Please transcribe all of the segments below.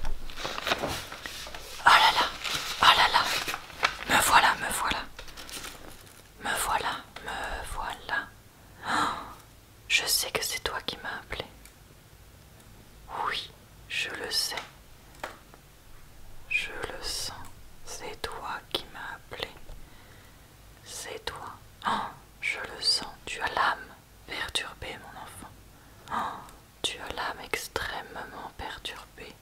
Oh là là, oh là là, me voilà, me voilà, me voilà, me voilà. Oh, je sais que c'est toi qui m'as appelé. Oui, je le sais. Je le sens. C'est toi qui m'as appelé. C'est toi. Oh, je le sens. Tu as l'âme Perturbé mon enfant. Oh, tu as l'âme extrêmement perturbée.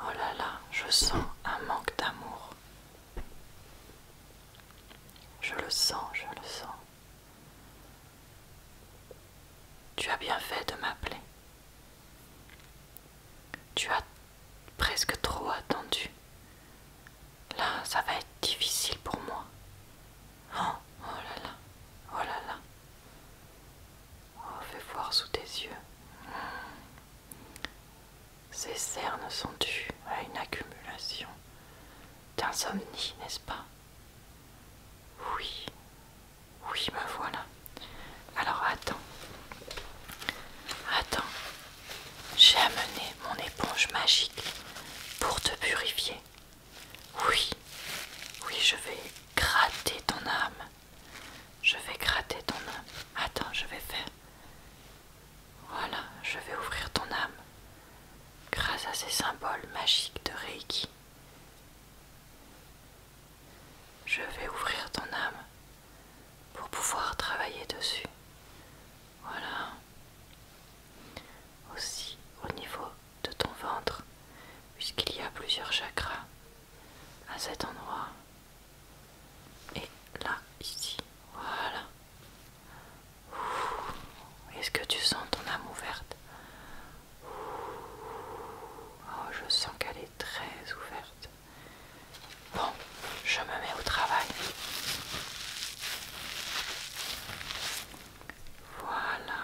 Oh là là, je sens un manque d'amour. Je le sens, je le sens. Tu as bien fait de m'appeler. Tu as presque trop attendu. Là, ça va être difficile pour moi. Oh, oh là là, oh là là. Oh, fais voir sous tes yeux. Ces cernes sont dues à une accumulation d'insomnie, n'est-ce pas Oui, oui, me voilà. Alors attends, attends. J'ai amené mon éponge magique pour te purifier. Oui, oui, je vais gratter ton âme. Je vais gratter ton âme. Attends, je vais faire. Voilà, je vais ouvrir ton âme grâce à ces symboles magiques de Reiki. Je vais ouvrir ton âme pour pouvoir travailler dessus. Voilà. Aussi au niveau de ton ventre, puisqu'il y a plusieurs chakras à cet endroit. Et là, ici. Voilà. Est-ce que tu sens ton âme ouverte Oh, je sens qu'elle est très ouverte. Bon, je me mets au travail. Voilà.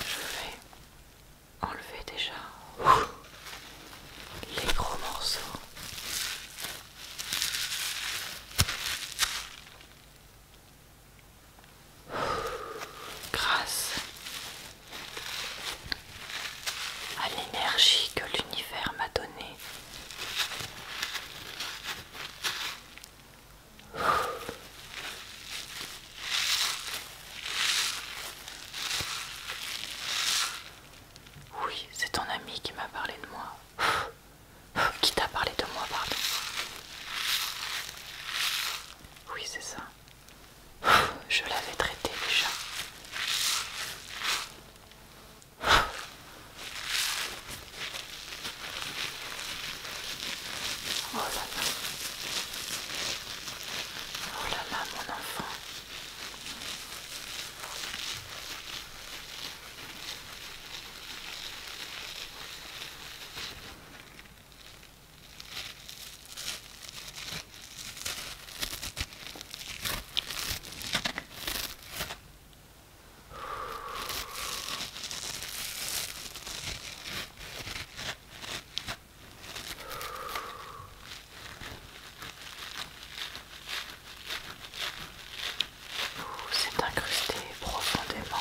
Je vais enlever déjà les gros morceaux. Grâce à l'énergie que l'univers m'a donnée. Oui, c'est ton ami qui m'a parlé de moi. Qui t'a parlé de moi, pardon. Oui, c'est ça. Je l'avais traité déjà. Oh là là. Oh là là, mon enfant. C'est incrusté profondément.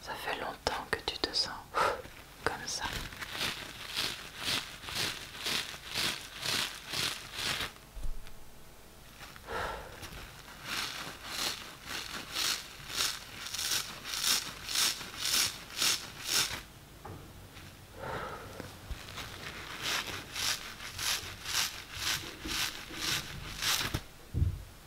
Ça fait longtemps que tu te sens comme ça.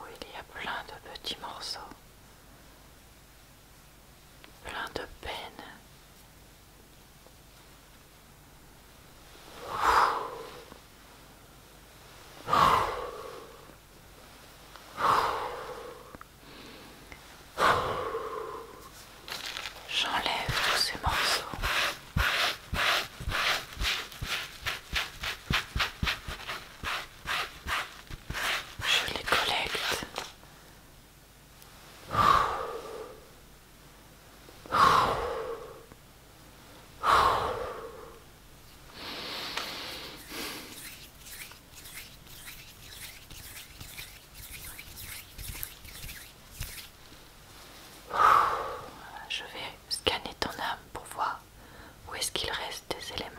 où il y a plein de petits morceaux, plein de peines J'enlève tous ces morceaux. Je les collecte. Je vais scanner ton âme pour voir où est-ce qu'il reste des éléments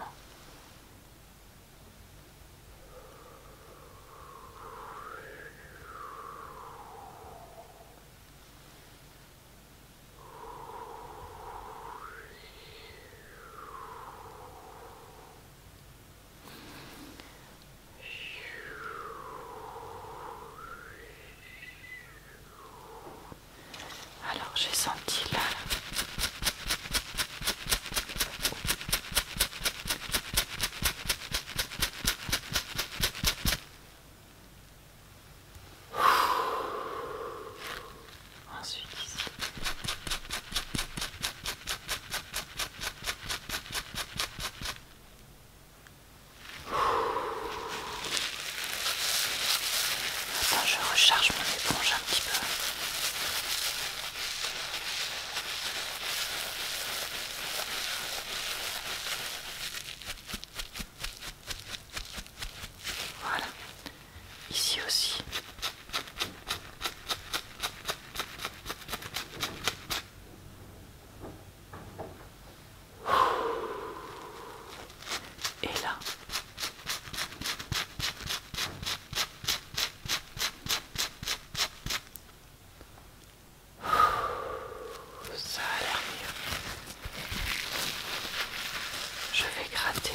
alors j'ai senti là Ensuite Attends, je recharge mon éponge un petit peu. Voilà, ici aussi. Et là, ça a l'air mieux. Je vais gratter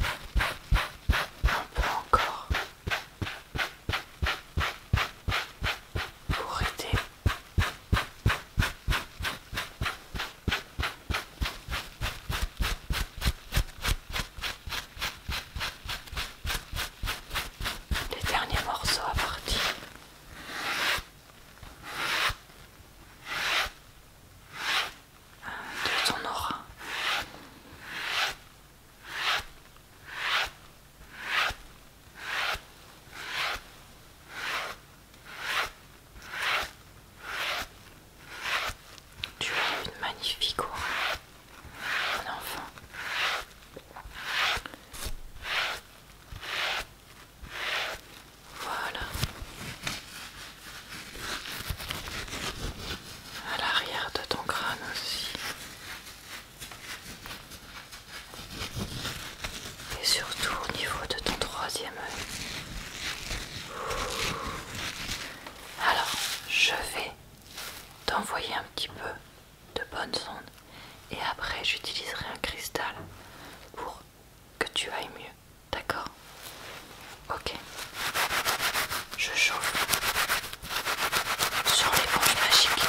un peu encore pour aider les derniers morceaux à partir. De ton aura. Tu as une magnifique aura, mon enfant. Voilà. À l'arrière de ton crâne aussi et surtout au niveau de ton troisième œil. Alors, je vais t'envoyer un petit peu de bonnes ondes et après j'utiliserai un cristal pour que tu ailles mieux. D'accord Ok. Je chauffe sur les l'éponge magiques.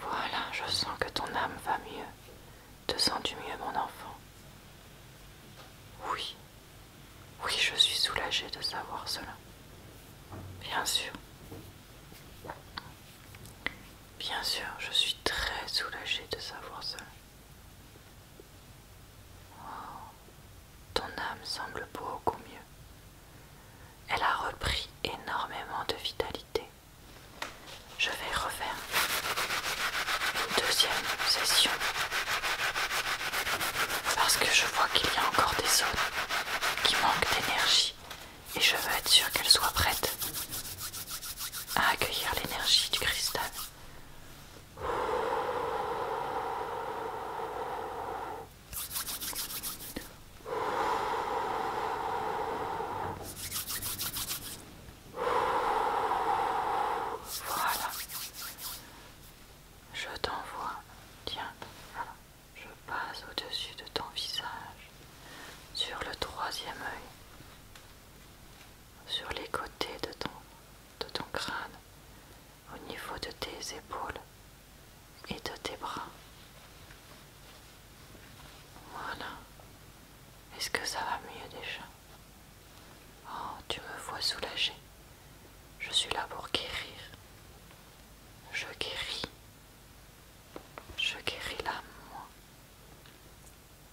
Voilà, je sens que ton âme va mieux. Te sens-tu mieux, mon enfant Oui, oui, je suis soulagée de savoir cela. Bien sûr. Bien sûr, je suis très soulagée de savoir cela. ton âme semble beaucoup mieux. Elle a repris énormément de vitalité. Je vais refaire une deuxième session parce que je vois qu'il y a encore des zones qui manquent d'énergie et je veux être sûr qu'elles soient prêtes à accueillir l'énergie du cristal. Voilà. Je t'envoie, tiens, je passe au-dessus de ton visage, sur le troisième œil, sur les côtés de ton, de ton crâne, au niveau de tes épaules et de tes bras. Voilà. Est-ce que ça va mieux déjà Oh, tu me vois soulagée. Je suis là pour guérir. Je guéris. Je guéris l'âme, moi.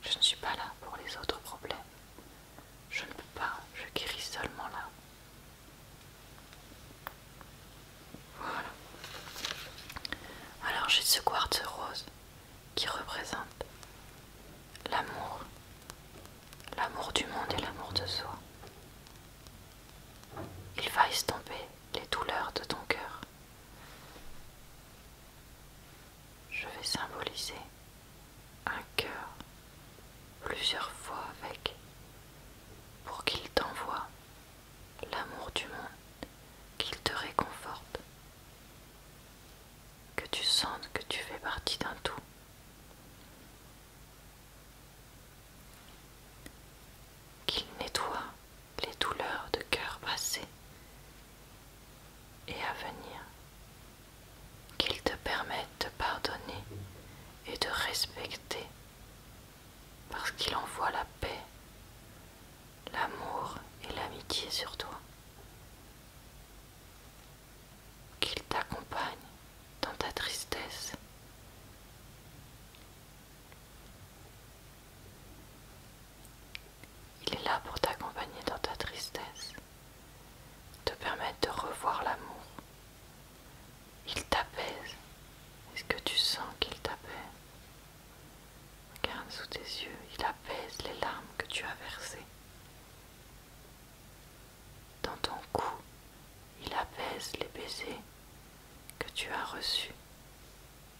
Je ne suis pas là pour les autres problèmes. Je ne peux pas, je guéris seulement là. Voilà. Alors j'ai ce quartz rose qui représente l'amour, l'amour du monde et l'amour de soi. Il va estomper les douleurs de ton cœur. Je vais symboliser un cœur plusieurs fois avec pour qu'il t'envoie l'amour du monde, qu'il te réconforte que tu sentes que tu fais partie d'un tout. Qu'il nettoie les douleurs de cœur passé et à venir. Qu'il te permette de pardonner et de respecter parce qu'il envoie la paix, l'amour et l'amitié sur toi qu'il t'accompagne dans ta tristesse. Il est là pour t'accompagner dans ta tristesse, te permettre de revoir l'amour. Il t'apaise. Est-ce que tu sens qu'il t'apaise Regarde sous tes yeux, il apaise les larmes que tu as versées. Dans ton cou, il apaise les baisers que tu as reçus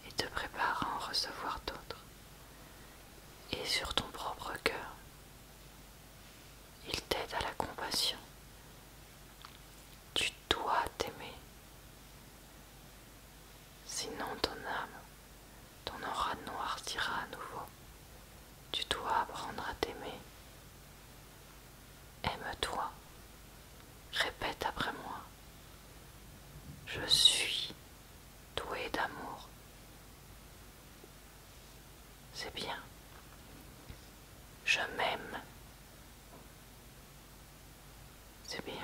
et te prépare à en recevoir d'autres. Et sur ton propre cœur, il t'aide à la compassion. Tu dois t'aimer. Sinon ton âme ton aura noircira à nouveau. Tu dois apprendre à t'aimer. Aime-toi. Répète après moi. Je suis doué d'amour. C'est bien. Je m'aime. C'est bien.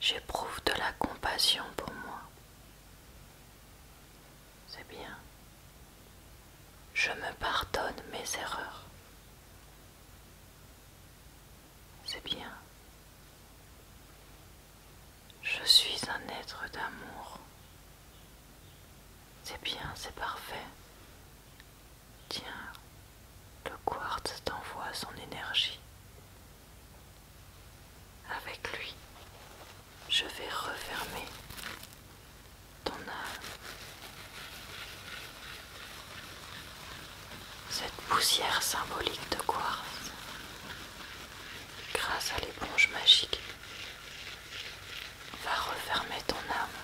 J'éprouve de la compassion pour moi. C'est bien. Je me pardonne mes erreurs. C'est bien. Je suis un être d'amour. C'est bien, c'est parfait. Tiens, le quartz t'envoie son énergie. Avec lui, je vais refermer ton âme. Cette poussière symbolique de quartz, grâce à l'éponge magique, va refermer ton âme.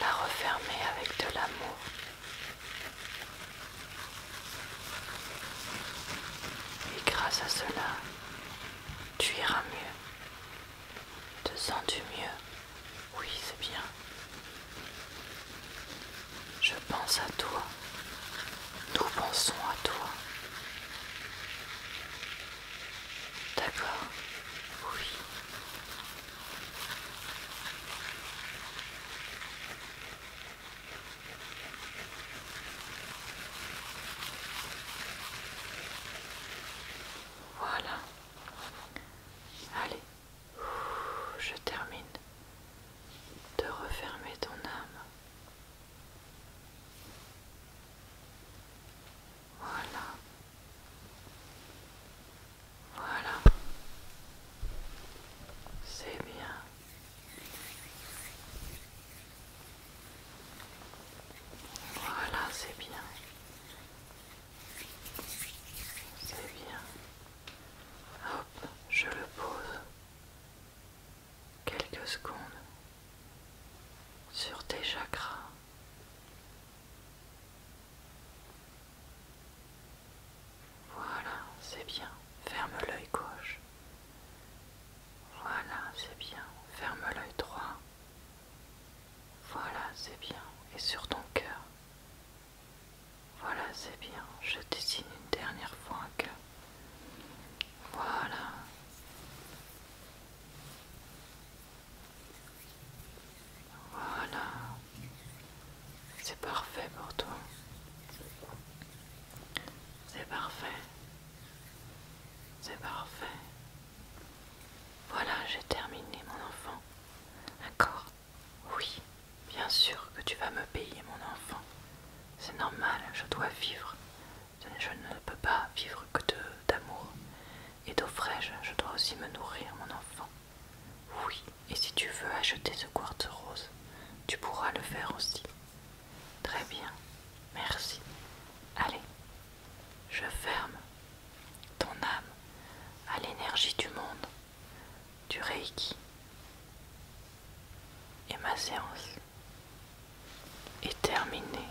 La refermer avec de l'amour. Et grâce à cela, tu iras mieux. Te sens-tu mieux Oui, c'est bien. Je pense à toi. Nous pensons à toi. D'accord Oui. Voilà. Allez, je termine de refermer ton âme. Voilà. Voilà. C'est bien. Voilà, c'est bien. C'est bien. Hop, je le pose quelques secondes sur tes chakras. Voilà, c'est bien. Ferme l'œil gauche. Voilà, c'est bien. Ferme l'œil droit. Voilà, c'est bien. Et sur ton cœur. Voilà, c'est bien. Je dessine une dernière fois un cœur. Voilà. Voilà. C'est parfait pour toi. C'est parfait. C'est parfait. Voilà, j'ai terminé mon enfant. D'accord Oui, bien sûr que tu vas me payer mon enfant. C'est normal, je dois vivre. Je ne peux pas vivre que d'amour. Et d'eau frais je dois aussi me nourrir, mon enfant. Oui, et si tu veux acheter ce quartz rose, tu pourras le faire aussi. Très bien, merci. Allez, je ferme ton âme à l'énergie du monde, du Reiki et ma séance est terminée.